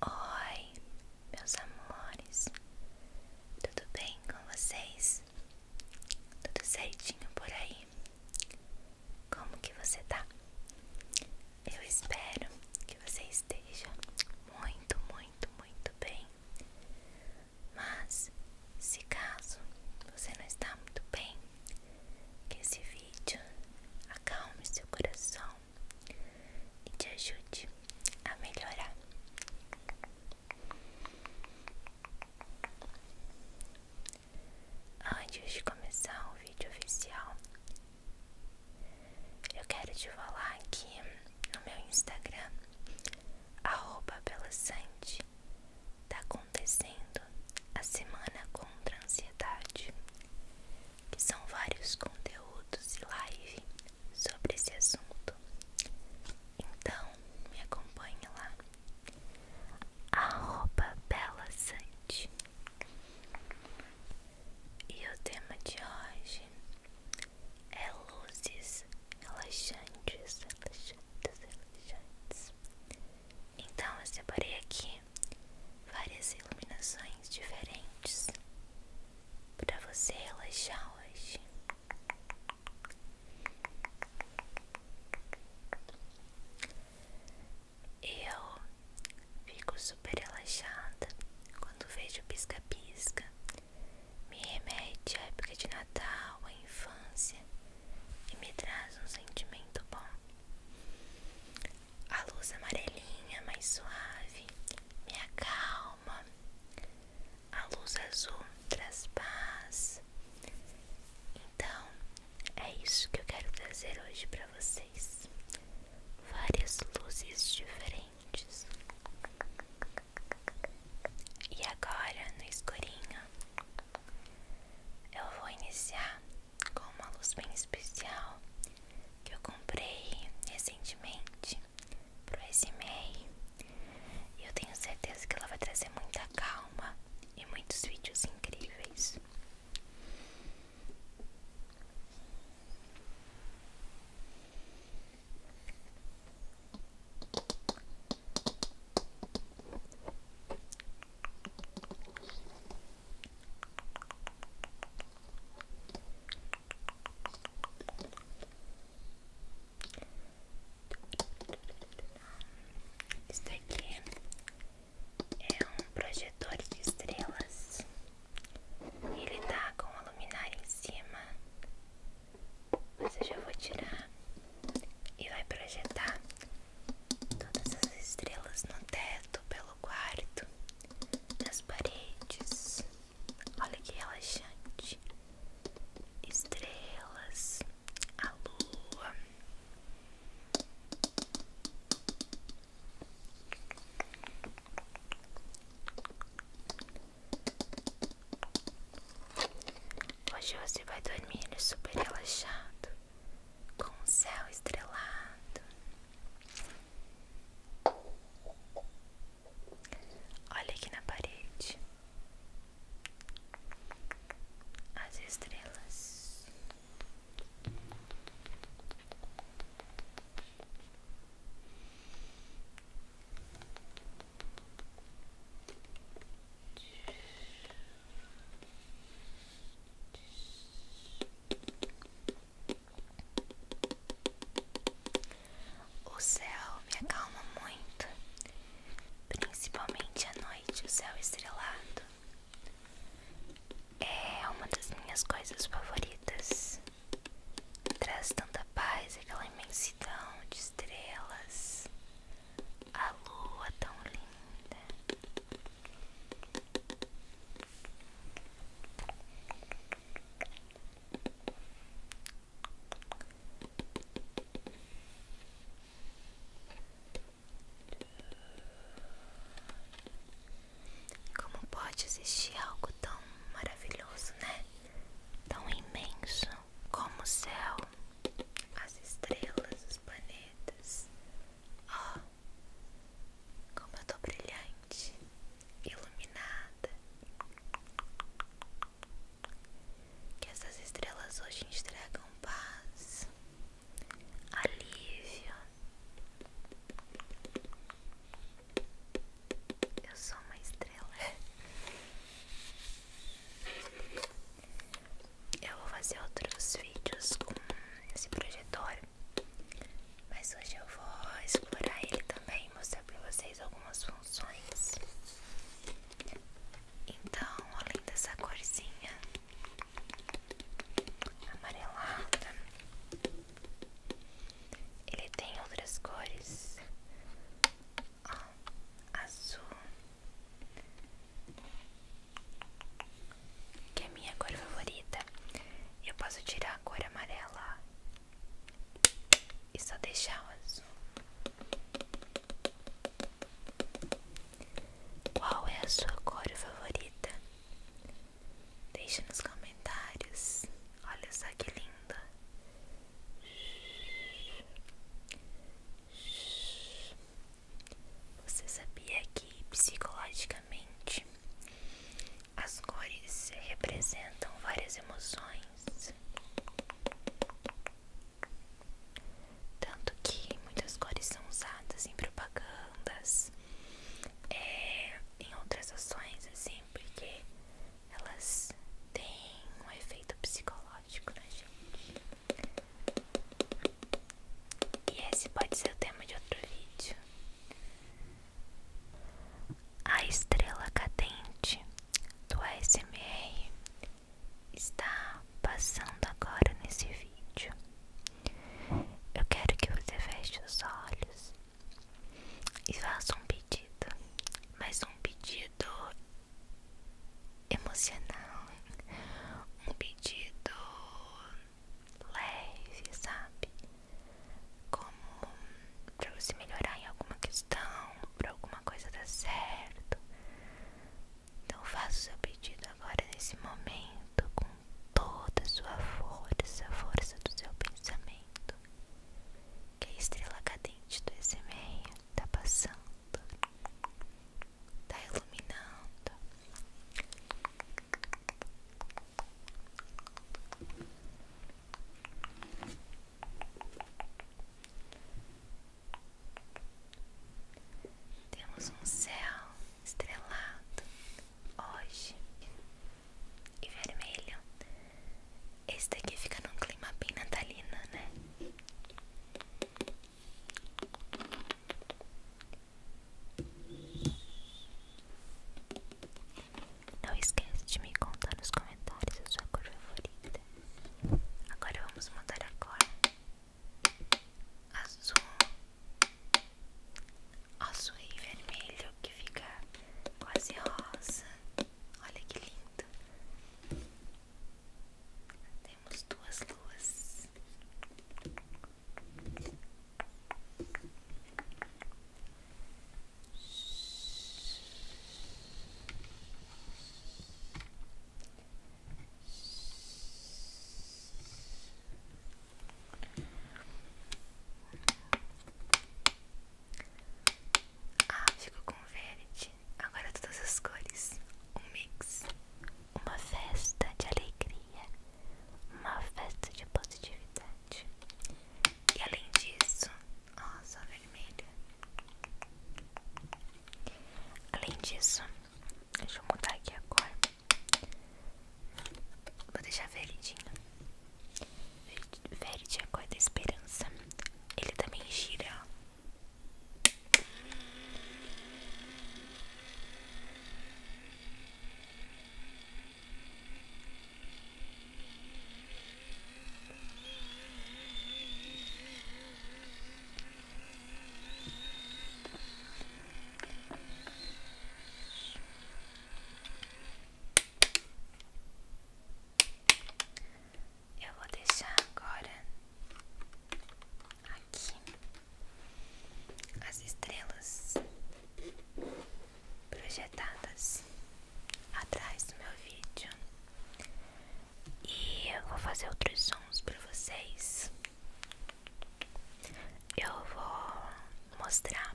Oi, meus amores, tudo bem com vocês? Tudo certinho por aí? Como que você tá? Eu espero que você esteja muito, muito, muito bem. Mas se caso você não está muito bem, que esse vídeo acalme seu coração e te ajude a melhorar. Antes de começar o vídeo oficial, eu quero te falar que no meu Instagram, arroba pela tá acontecendo a Semana contra Ansiedade, que são vários conteúdos e live sobre esse assunto. Então, me acompanhe lá. a roupa Bela Sante. E o tema de hoje é luzes relaxantes, relaxantes, relaxantes. Então eu separei aqui várias iluminações diferentes para você relaxar hoje. Eu fico super relaxada quando vejo pisca-pisca. Me remete à época de Natal, à infância e me traz um sentimento bom. A luz amarelinha, mais suave, me acalma. A luz azul traz paz. Então, é isso que eu quero trazer hoje para vocês. Várias luzes diferentes. E agora, no escurinho, eu vou iniciar com uma luz bem especial que eu comprei recentemente pro SMR. E eu tenho certeza que ela vai trazer muita calma e muitos vídeos incríveis. Isso aqui é um projetor de estrelas. Ele tá com a luminária em cima. Você já vou tirar e vai projetar todas as estrelas no teto, pelo quarto, nas paredes. Olha que relaxante. Estrelas, a lua. Hoje você vai dormir super relaxado com o céu estrelado. Olha aqui na parede as estrelas. O céu me acalma muito, principalmente à noite, o céu estrelado. É uma das minhas coisas favoritas. Traz tanta paz, aquela imensidão de estrelas. A lua tão linda. Como pode existir algo tão maravilhoso, né? Tão imenso como o céu as estrelas, os planetas. Ó, como eu tô brilhante, iluminada. Que essas estrelas hoje entregam paz, alívio. Eu sou uma estrela. Eu vou fazer outros vídeos com esse projetor, mas hoje eu vou explorar ele também e mostrar pra vocês algumas funções. Então, além dessa corzinha amarelada, ele tem outras cores ó, azul, que é minha cor favorita. Eu posso tirar a cor amarela e só deixar o azul. Qual é a sua cor favorita? Deixa nos comentários. Olha só que linda. Você sabia que psicologicamente as cores representam várias emoções? Tanto que muitas cores são usadas em propagandas, é, em outras ações, assim, porque elas têm um efeito psicológico. Né, e esse pode ser o tema de outro vídeo. A estrela cadente do ASMR está passando agora nesse vídeo. Eu quero que você feche os olhos e faça um pedido, mas um pedido emocional, um pedido leve, sabe? Como pra você melhorar em alguma questão, pra alguma coisa dar certo. Então faça o seu pedido agora nesse momento com toda a sua força, a força do seu pensamento. Que é a estrela cadente do esse meio tá passando, tá iluminando. Temos um céu estrelado hoje e vermelho esse daqui fica num clima bem natalino, né? Não esquece de me contar nos comentários a sua cor favorita. Agora vamos mudar a cor. Azul, azul e vermelho que fica quase rosa. Olha que lindo. Temos duas luas. Ah, ficou com verde. Agora todas as cores. Um mix. Uma festa de alegria. Uma festa de positividade. E além disso, ó, só vermelha. Além disso, deixa eu mudar aqui a cor. Vou deixar verdinho. Verde é a cor da esperança. Ele também gira. Eu vou deixar agora aqui as estrelas projetadas atrás do meu vídeo e eu vou fazer outros sons para vocês. Eu vou mostrar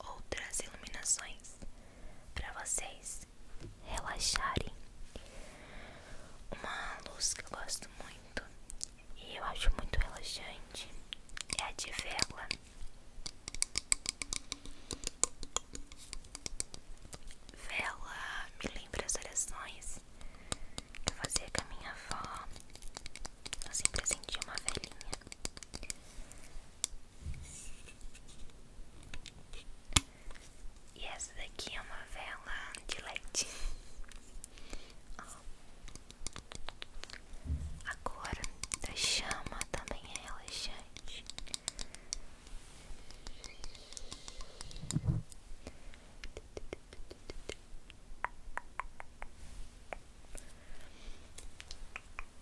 outras iluminações para vocês relaxarem. Uma luz que eu gosto muito e eu acho muito relaxante é a de vela. Vela me lembra as orações que eu fazia com a minha avó. Eu sempre sentia uma velhinha. E essa daqui é uma vela de leite. A chama também é relaxante.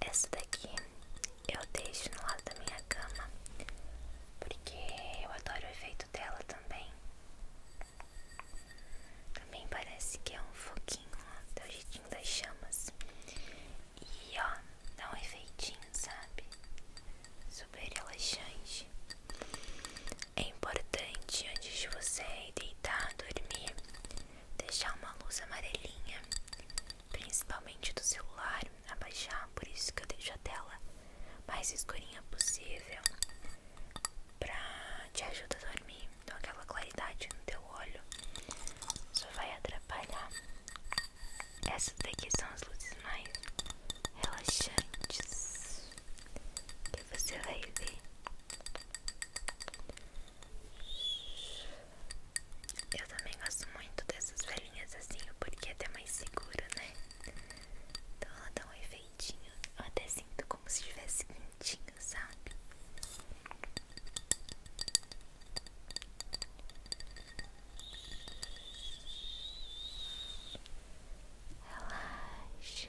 Essa daqui eu deixo no lado da minha cama porque eu adoro o efeito dela também. Também parece que é um foquinho, ó, do jeitinho das chamas. E ó, dá um efeitinho, sabe? Super relaxante. É importante antes de você deitar, dormir, deixar uma luz amarelinha, principalmente do celular, abaixar, por isso que eu deixo a tela mais escurinha possível pra te ajudar a dormir. Então aquela claridade no teu olho só vai atrapalhar. Essas daqui são as luzes mais relaxantes que você vai ver. Eu também gosto muito dessas velhinhas assim, porque é até mais seguro, né? Então ela dá um efeitinho. Eu até sinto como se estivesse quentinho, sabe? Relaxa.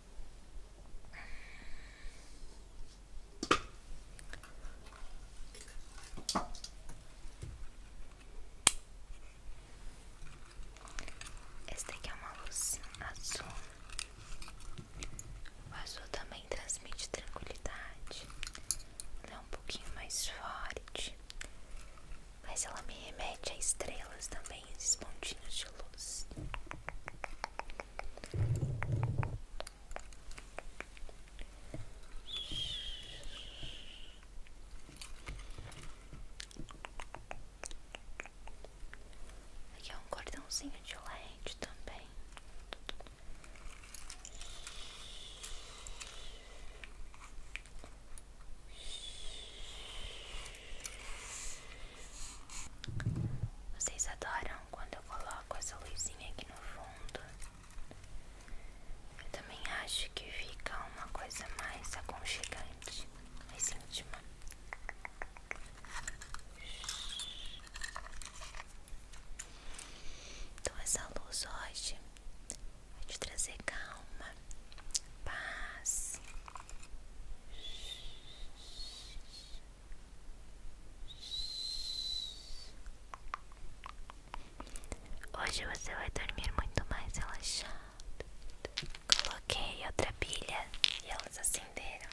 Esta aqui é uma luz azul. O azul também transmite tranquilidade. Ela é um pouquinho mais forte, mas ela me remete a estrelas também também esses pontinhos de luz. Aqui é um cordãozinho de lente também. Vocês adoram quando eu coloco essa luzinha aqui no fundo. Eu também acho que fica uma coisa mais aconchegante, mais íntima. Então essa luz hoje vai te trazer calma, paz. Hoje você vai dormir muito mais relaxado. Coloquei outra pilha e elas acenderam.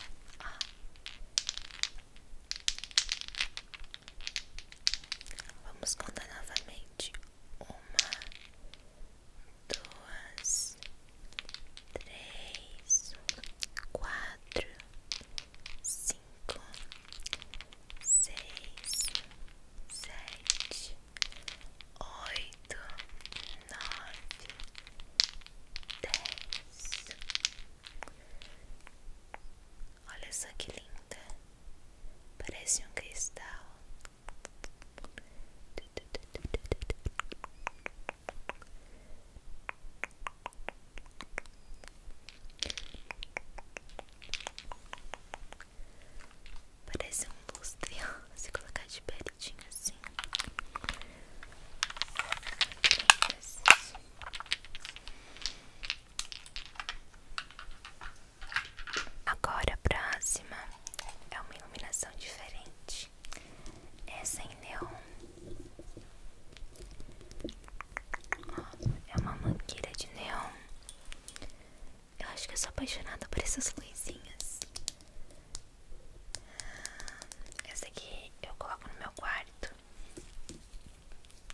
Vamos contar novamente: uma, duas, três, quatro, cinco, seis, sete, oito, nove, dez. Olha só que linda, parece um cristal. Parece um lustre, se colocar de pertinho assim. Agora a próxima é uma iluminação diferente. Essa é em neon. É uma mangueira de neon. Eu acho que eu sou apaixonada por essas luzinhas. Essa aqui eu coloco no meu quarto.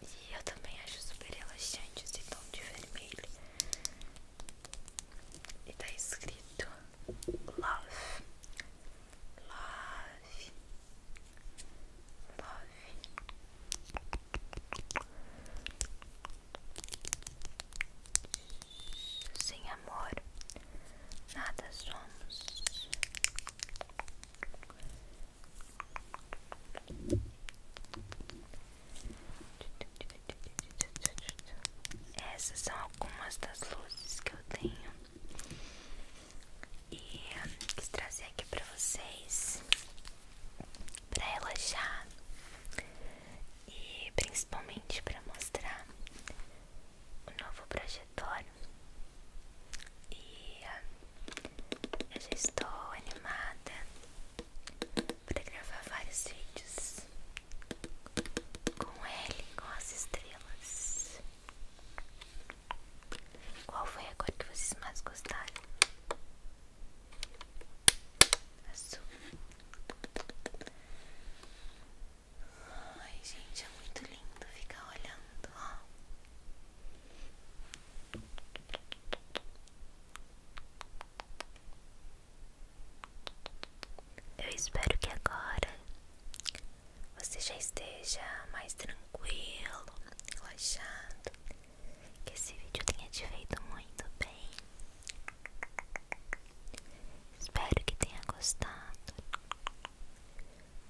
E eu também acho super relaxante esse tom de vermelho e tá escrito Love, Love, Love. Sem amor, nada somos. Essas são algumas das luzes que eu tenho e quis trazer aqui para vocês para relaxar e principalmente para mostrar o novo projetório e eu já estou animada para gravar vários vídeos com ele, com as estrelas. Qual foi agora que vocês mais gostaram? Azul. Ai, gente, é muito lindo ficar olhando, ó. Eu espero que agora você já esteja mais tranquilo, relaxado, que esse vídeo tenha te feito muito bem. Espero que tenha gostado.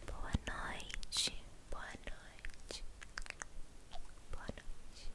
Boa noite, boa noite, boa noite.